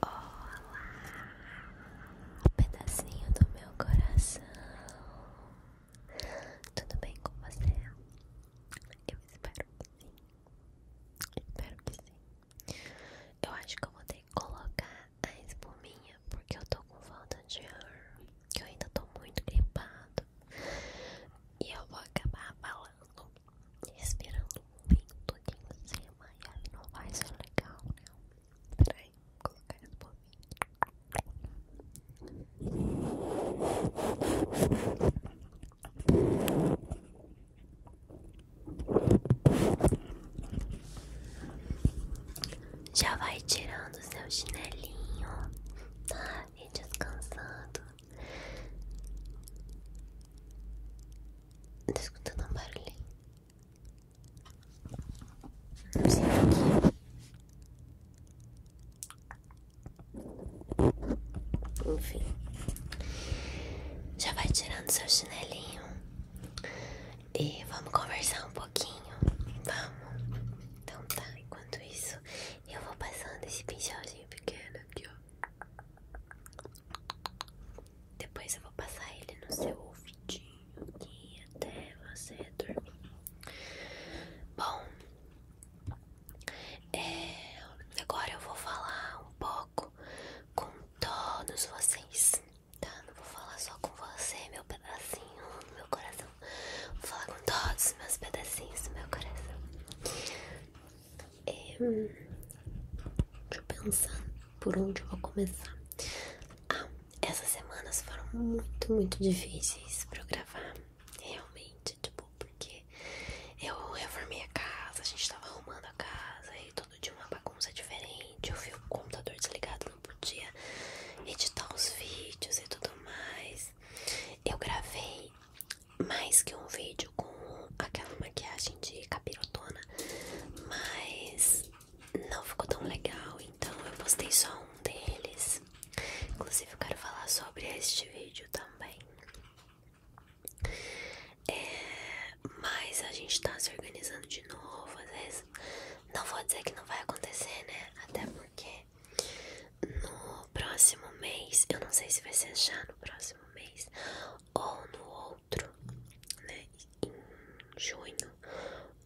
Olá, pedacinho do meu coração. Tudo bem com você? Eu espero que sim. Espero que sim. Eu acho que eu vou ter que colocar a espuminha porque eu tô com falta de ar. Que eu ainda tô muito gripado. E eu vou acabar falando respirando muito aqui em cima e aí não vai ser legal, né? Peraí, vou colocar esse bovinho. Já vai tirando seu chinelinho, tá? E descansando. Tá escutando um barulhinho? Não sei o que enfim, já vai tirando seu chinelinho e vamos conversar um pouquinho, vamos? Então tá, enquanto isso eu vou passando esse pincelzinho pequeno aqui, ó. Depois eu vou passar ele no seu ouvidinho aqui até você dormir. Bom, é, agora eu vou falar um pouco com todos vocês, tá? Não vou falar só com você, meu pedacinho, meu coração. Vou falar com todos meus pedacinhos do meu coração. É, hum, deixa eu pensar por onde eu vou começar. Ah, essas semanas foram muito, muito difíceis pra eu gravar. Realmente, tipo, porque eu reformei a casa, a gente tava arrumando a casa e todo dia uma bagunça diferente. Eu vi o computador desligado, não podia editar os vídeos e tudo mais. Eu gravei mais que um vídeo com aquela maquiagem Assim, de capirotona, mas não ficou tão legal, então eu postei só um deles. Inclusive eu quero falar sobre este vídeo também. É, mas a gente tá se organizando de novo, às vezes não vou dizer que não vai acontecer, né? Até porque no próximo mês, eu não sei se vai ser já no próximo mês ou no outro né, em junho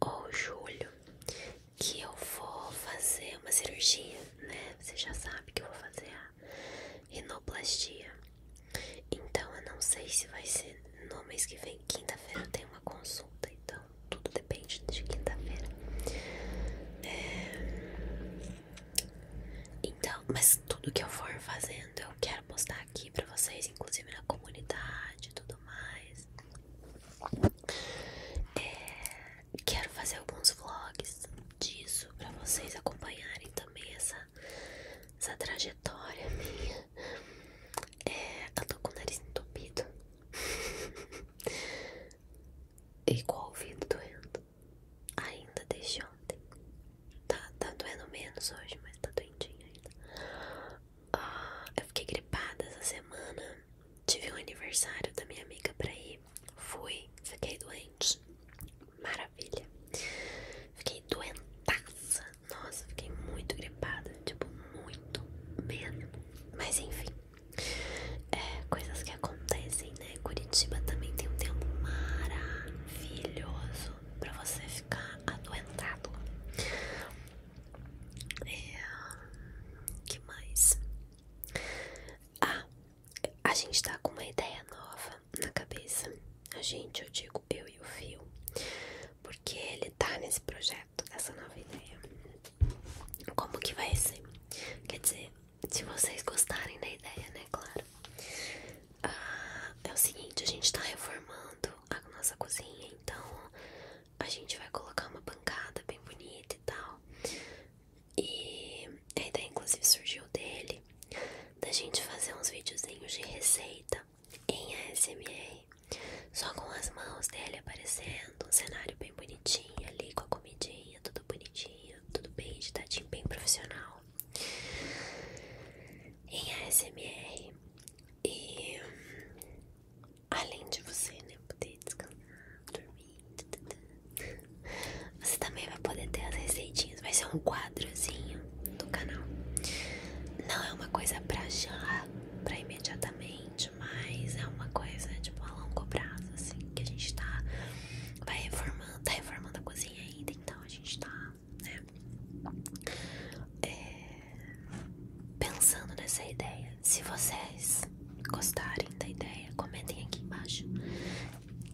ou julho, que eu vou fazer uma cirurgia, né? Você já sabe que eu vou fazer a rinoplastia. Então eu não sei se vai ser no mês que vem, quinta-feira eu tenho uma consulta, então tudo depende de quinta-feira. É... Então, mas tudo que eu for fazendo, eu quero postar aqui pra vocês, inclusive na comunidade e tudo mais. É, quero fazer alguns vlogs disso pra vocês acompanharem também essa, essa trajetória minha. É, eu tô com o nariz entupido. e com o ouvido doendo ainda desde ontem. Tá, tá doendo menos hoje, mas tá doentinha ainda. Ah, eu fiquei gripada essa semana. Tive um aniversário da minha amiga pra ir. Fui, fiquei doente. Maravilha. Fiquei doentaça. Nossa, fiquei muito gripada. Tipo, muito mesmo. Mas enfim. É, coisas que acontecem né? Curitiba também tem um tempo maravilhoso para você ficar adoentado. É, que mais? Ah, a gente está com uma ideia nova na cabeça. A gente, eu digo eu e o Fio, porque ele está nesse projeto dessa nova ideia. Como que vai ser? Quer dizer, se vocês gostarem da ideia, né? Claro. Ah, é o seguinte, a gente tá reformando a nossa cozinha, então a gente vai colocar uma bancada bem bonita e tal. E a ideia, inclusive, surgiu dele da gente fazer uns videozinhos de receita em ASMR, só com as mãos dele aparecendo, um cenário bem bonitinho ali com a comidinha, tudo bonitinho, tudo bem editadinho, bem profissional em ASMR e além de você né, poder descansar, dormir, você também vai poder ter as receitinhas, vai ser um quadrozinho do canal. Não é uma coisa pra já, pra imediatamente, mas é uma coisa tipo a longo prazo, assim, que a gente tá vai reformando, tá reformando a cozinha ainda, então a gente tá, né? É, pensando nessa ideia. Se vocês gostarem da ideia, comentem aqui embaixo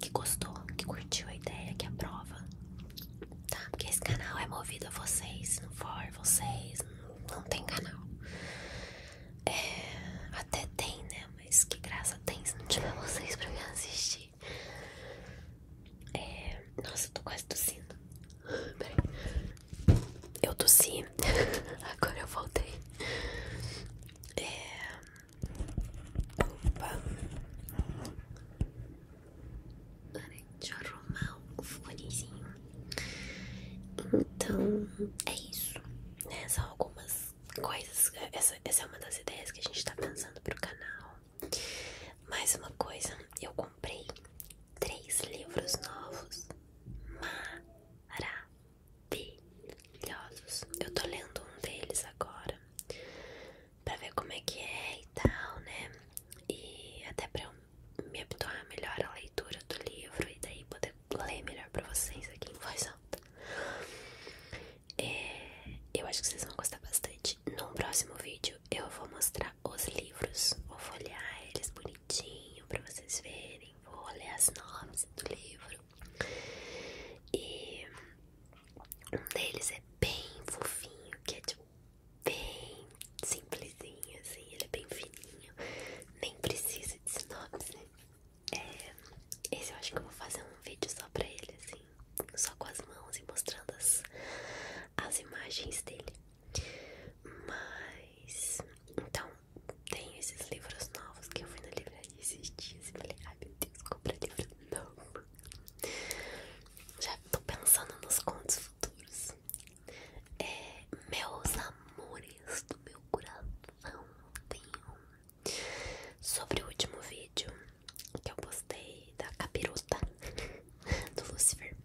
que gostou, que curtiu a ideia, que aprova. Tá? Porque esse canal é movido a vocês, não for vocês, não, tem canal. É, até tem, né? Mas que graça tem se não tiver vocês pra me assistir aqui. É... Nossa, eu tô quase tossindo. Peraí. Eu tossi. Agora eu voltei. É... Opa. Peraí, deixa eu arrumar o fonezinho. Então, é isso. Né? São algumas coisas essa é uma das ideias que a gente tá pensando pro canal. Mais uma coisa, eu comprei três livros novos maravilhosos. Eu tô lendo um deles agora pra ver como é que é e tal, né? E até pra eu me habituar melhor à leitura do livro e daí poder ler melhor pra vocês aqui em voz alta. É, eu acho que vocês vão gostar bastante. Num próximo vídeo eu vou mostrar os livros, vou folhear eles bonitinho pra vocês verem, vou ler as nomes do livro. E um deles é bem fofinho, que é tipo bem simplesinho, assim, ele é bem fininho, nem precisa de né? É, esse eu acho que eu vou fazer um vídeo só pra ele, assim, só com as mãos e mostrando as, as imagens dele. Mas, então, tenho esses livros novos que eu fui na livraria esses dias e falei, ai meu Deus, comprar livro não Já tô pensando nos contos futuros. É, meus amores do meu coração, tenho Sobre o último vídeo que eu postei da capiruta do Lucifer,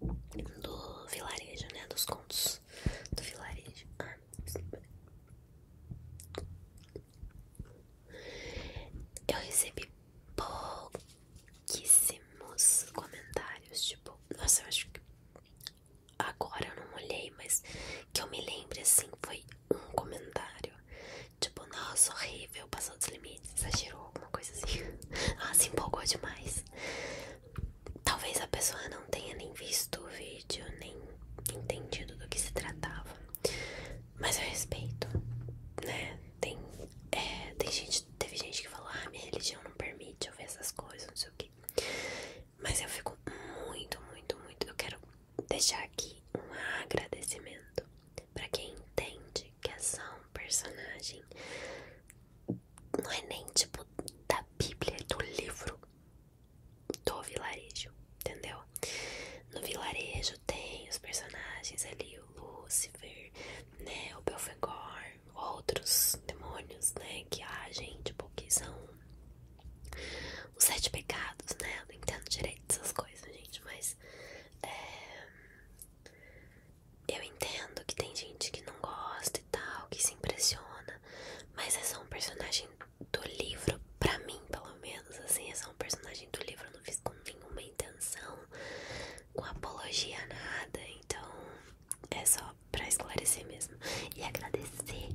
do vilarejo, né? Dos contos do vilarejo. Eu recebi pouquíssimos comentários. Tipo, nossa, eu acho que agora eu não olhei, mas que eu me lembre assim, foi um comentário tipo, nossa, horrível, passou dos limites, exagerou, alguma coisa assim. Ah, se empolgou demais. Talvez a pessoa não tenha nem visto o vídeo, nem entendido do que se tratava. Mas eu respeito, né? Tem, é, tem gente, teve gente que falou, ah, minha religião não permite ouvir essas coisas, não sei o que. Mas eu fico muito, muito, muito. Eu quero deixar aqui um agradecimento para quem entende que é só personagem, não é nem tipo da Bíblia, é do livro do vilarejo, entendeu? No vilarejo tem os personagens ali, o Lúcifer, né, o Belfegor, outros demônios, né, que agem, tipo, que são os sete pecados, né? Eu não entendo direito essas coisas, gente, mas é, eu entendo que tem gente que não gosta e tal, que se impressiona, mas essa é um personagem do livro, pra mim, pelo menos, assim, essa é um personagem do livro, eu não fiz com nenhuma intenção, com apologia nada, então é só pra esclarecer mesmo. E agradecer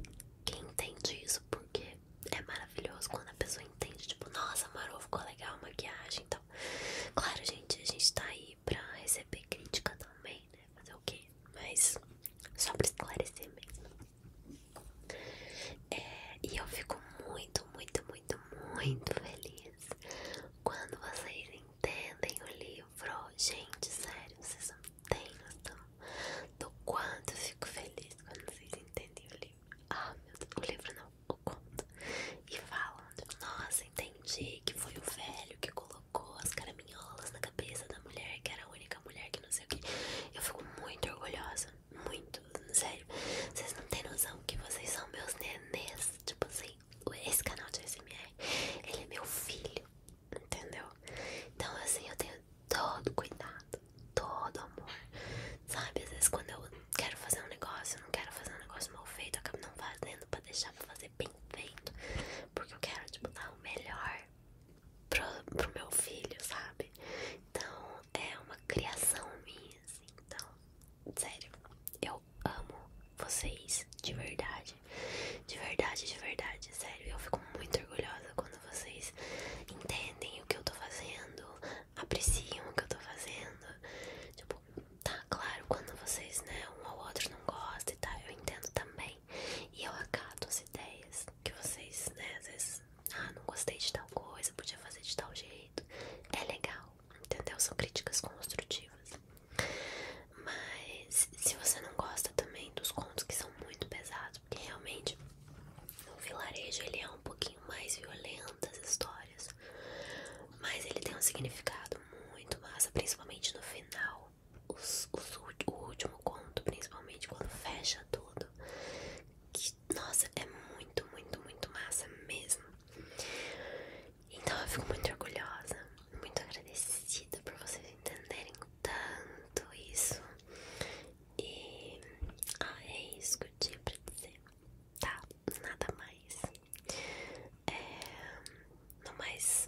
quem entende isso, porque é maravilhoso quando a pessoa entende, tipo, nossa, Marô, ficou legal a maquiagem então. Claro, gente, a gente tá aí pra receber crítica também, né? Fazer o quê? Mas só pra esclarecer mesmo. É, e eu fico muito, muito, muito, muito feliz quando vocês entendem o livro. Gente, sério, vocês são têm noção do quanto eu fico feliz quando vocês entendem o livro. Ah, meu Deus, o livro não, o conto. E falando, nossa, entendi que foi o velho que colocou as caraminholas na cabeça da mulher, que era a única mulher que não sei o que. Eu fico muito orgulhosa, muito, sério. Vocês não têm noção que vocês são meus nenês. Tipo assim, esse canal de SMR, ele é meu filho entendeu? Então, assim, eu tenho todo cuidado, todo amor, sabe? Às vezes, quando eu quero fazer um negócio, eu não quero fazer um negócio mal feito, eu acabo não fazendo pra deixar pra fazer bem feito, porque eu quero, tipo, dar o melhor pro, pro meu filho, sabe? Então, é uma criação minha, assim, então, sério, eu amo vocês de verdade, de verdade, de verdade, sério, eu fico muito orgulhosa vocês entendem o que eu tô fazendo, apreciam o que eu tô fazendo. Tipo, tá claro, quando vocês, né, um ou outro não gosta e tal, eu entendo também. E eu acato as ideias que vocês, né, às vezes, ah, não gostei de tal coisa, podia fazer de tal jeito. É legal, entendeu? São críticas construtivas. Mas se você não gosta também dos contos que são muito pesados, maravilhoso, realmente o vilarejo ele é um pouquinho mais violento as histórias, mas ele tem um significado muito massa, principalmente no final, os, o último conto, principalmente quando fecha tudo, que, nossa, é muito, muito, muito massa mesmo. Então eu fico muito orgulhosa, muito agradecida por vocês entenderem tanto isso. E ah, é isso que eu tinha pra dizer. Tá, nada mais. É, mas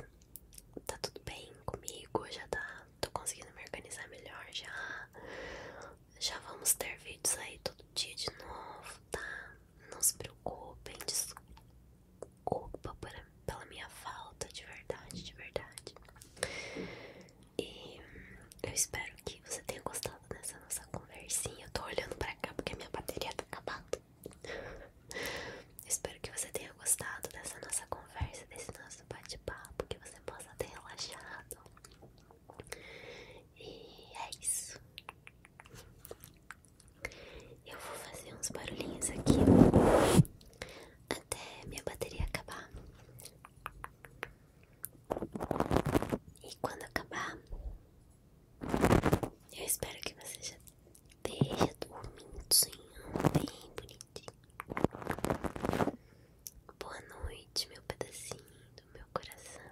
tá tudo bem comigo, já tá. Tô conseguindo me organizar melhor já. Já vamos ter vídeos aí todo dia de novo, tá? Não se preocupem, desculpa por pela minha falta, de verdade, de verdade. E eu espero que você tenha gostado dessa nossa conversinha. Eu tô olhando pra cá porque minha bateria tá acabando. espero que você tenha gostado dessa nossa conversa, desse nosso bate-papo, que você possa ter relaxado. E é isso. Eu vou fazer uns barulhinhos aqui até minha bateria acabar. E quando acabar, eu espero que você já esteja dormindo bem bonitinho. Boa noite, meu pedacinho do meu coração.